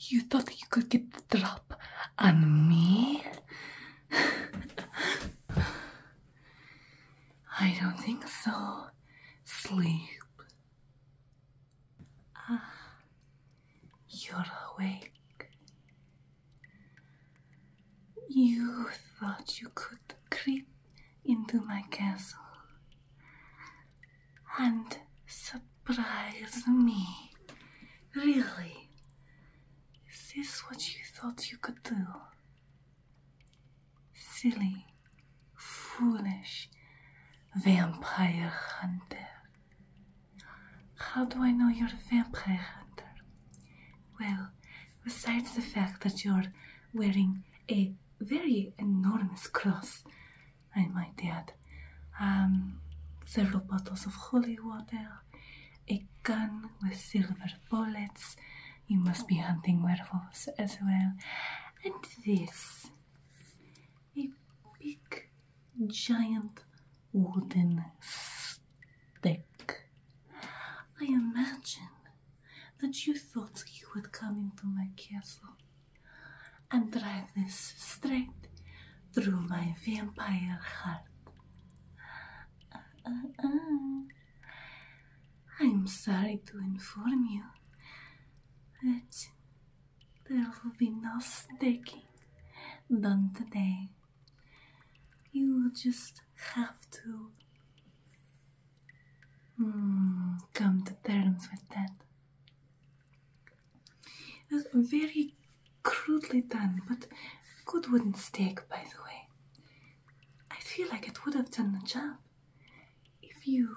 You thought you could get the drop on me? I don't think so. Sleep. Ah, you're awake. You thought you could creep into my castle and surprise me. Really? Is this what you thought you could do? Silly, foolish vampire hunter. How do I know you're a vampire hunter? Well, besides the fact that you're wearing a very enormous cross, I might add, um, several bottles of holy water, a gun with silver bullets. You must be hunting werewolves as well. And this a big, giant wooden stick. I imagine that you thought you would come into my castle and drive this straight through my vampire heart. Uh, uh, uh. I'm sorry to inform you that there will be no staking done today. You will just have to hmm, come to terms with that. That's very crudely done, but good wooden stake, by the way. I feel like it would have done the job if you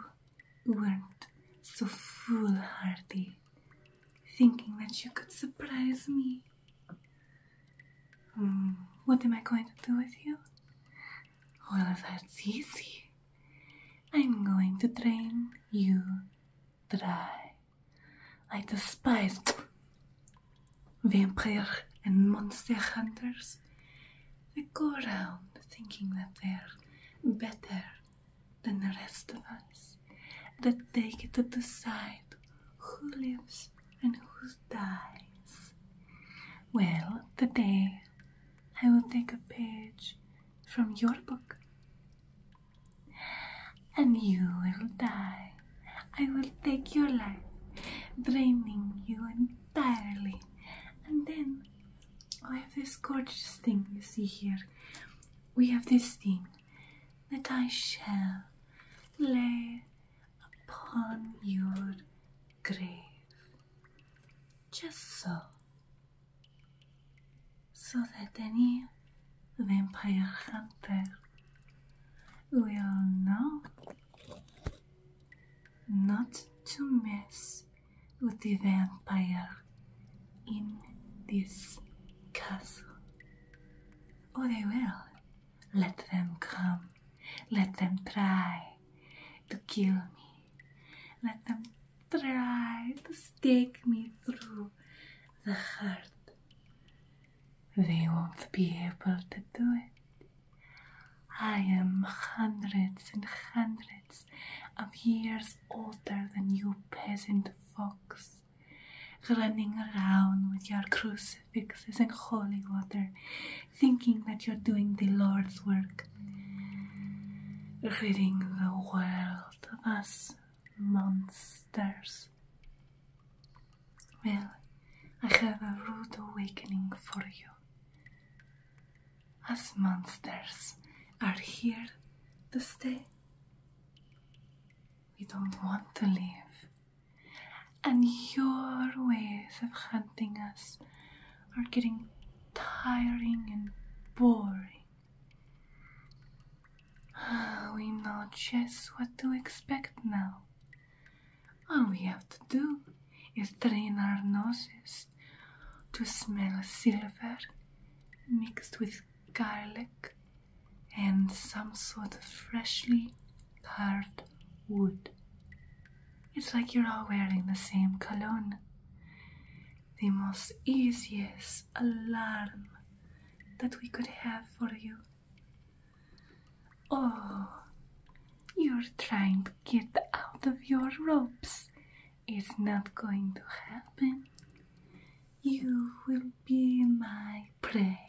weren't so foolhardy thinking that you could surprise me. Hmm, what am I going to do with you? Well, that's easy. I'm going to drain you dry. I despise vampire and monster hunters. They go around thinking that they're better than the rest of us that take it to decide who lives and who dies. Well, today I will take a page from your book. And you will die. I will take your life, draining you entirely. And then I have this gorgeous thing you see here we have this thing that I shall lay upon your grave. Just so. So that any vampire hunter will know not to miss with the vampire in this castle. Oh, they will. Let them come. Let them try to kill me. Let them try to stake me through the heart. They won't be able to do it. I am hundreds and hundreds of years older than you peasant folks, running around with your crucifixes and holy water, thinking that you're doing the Lord's work, ridding the world of us monsters. Well, I have a rude awakening for you as monsters are here to stay. We don't want to live. And your ways of hunting us are getting tiring and boring. We know just what to expect now. All we have to do is train our noses to smell silver mixed with garlic and some sort of freshly carved wood. It's like you're all wearing the same cologne. The most easiest alarm that we could have for you. Oh, you're trying to get out of your ropes it's not going to happen. You will be my prey.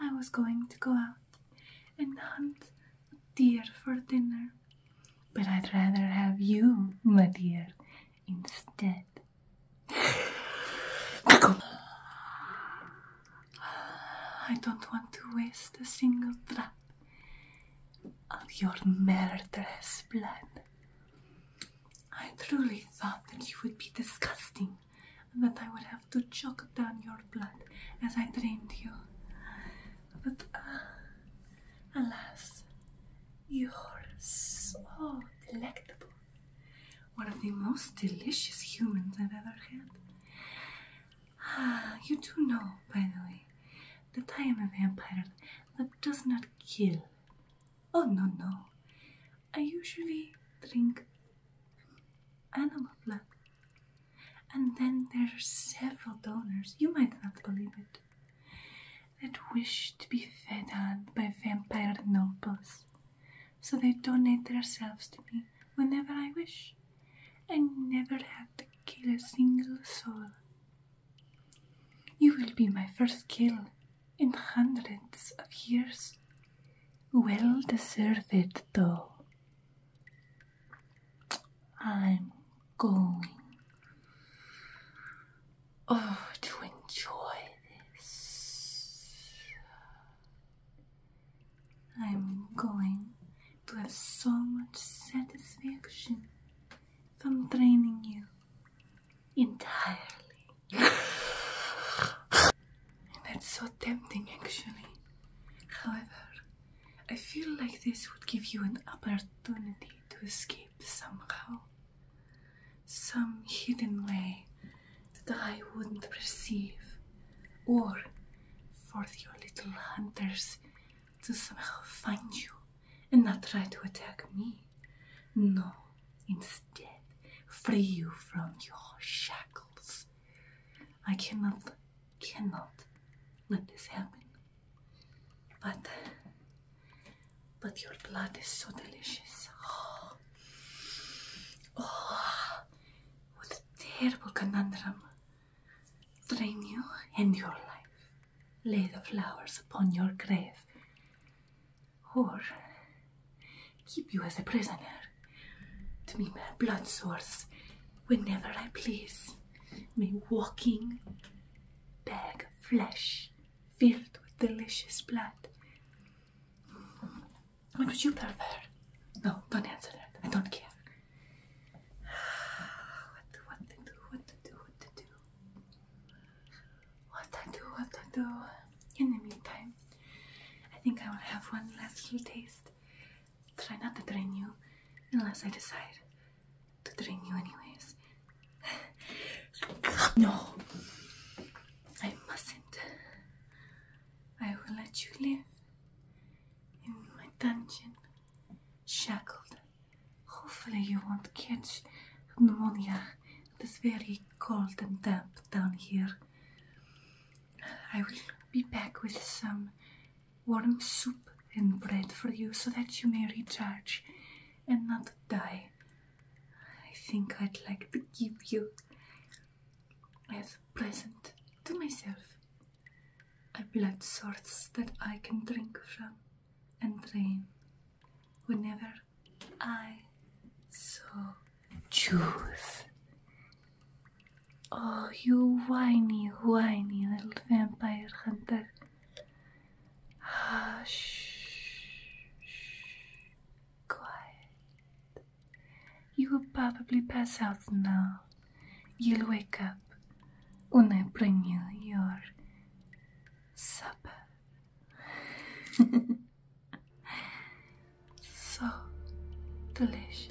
I was going to go out and hunt a deer for dinner, but I'd rather have you, my dear, instead. I don't want to waste a single drop of your murderous blood. I truly thought that you would be disgusting and that I would have to choke down your blood as I drained you. But uh, alas, you're so delectable. One of the most delicious humans I've ever had. Ah, you do know, by the way, that I am a vampire that does not kill. Oh no, no. I usually drink animal blood. And then there are several donors, you might not believe it, that wish to be fed on by vampire nobles. So they donate themselves to me whenever I wish. I never had to kill a single soul. You will be my first kill in hundreds of years. Well deserved, though. I'm going. Oh, to enjoy this. I'm going to have so much satisfaction from training you entirely. and that's so tempting, actually. However, I feel like this would give you an opportunity to escape somehow. Some hidden way that I wouldn't perceive, or for your little hunter's to somehow find you and not try to attack me. No, instead, free you from your shackles. I cannot, cannot let this happen. But, but your blood is so delicious. Oh, oh what a terrible conundrum. Drain you and your life. Lay the flowers upon your grave. Or keep you as a prisoner to be my blood source whenever I please. My walking bag of flesh filled with delicious blood. What would you prefer? No, don't answer that. I don't care. What do, what to do, what to do, what to do. What I do, what I do. In the meantime, I think I will have one last little taste. Try not to drain you unless I decide to drain you anyways. no, I mustn't. I will let you live in my dungeon, shackled. Hopefully, you won't catch pneumonia. It is very cold and damp down here. I will be back with some warm soup and bread for you so that you may recharge and not die. I think I'd like to give you as a present to myself a blood source that I can drink from and drain whenever I so choose. Oh, you whiny, whiny little vampire hunter. Hush. Quiet. You will probably pass out now. You'll wake up when I bring you your supper. so delicious.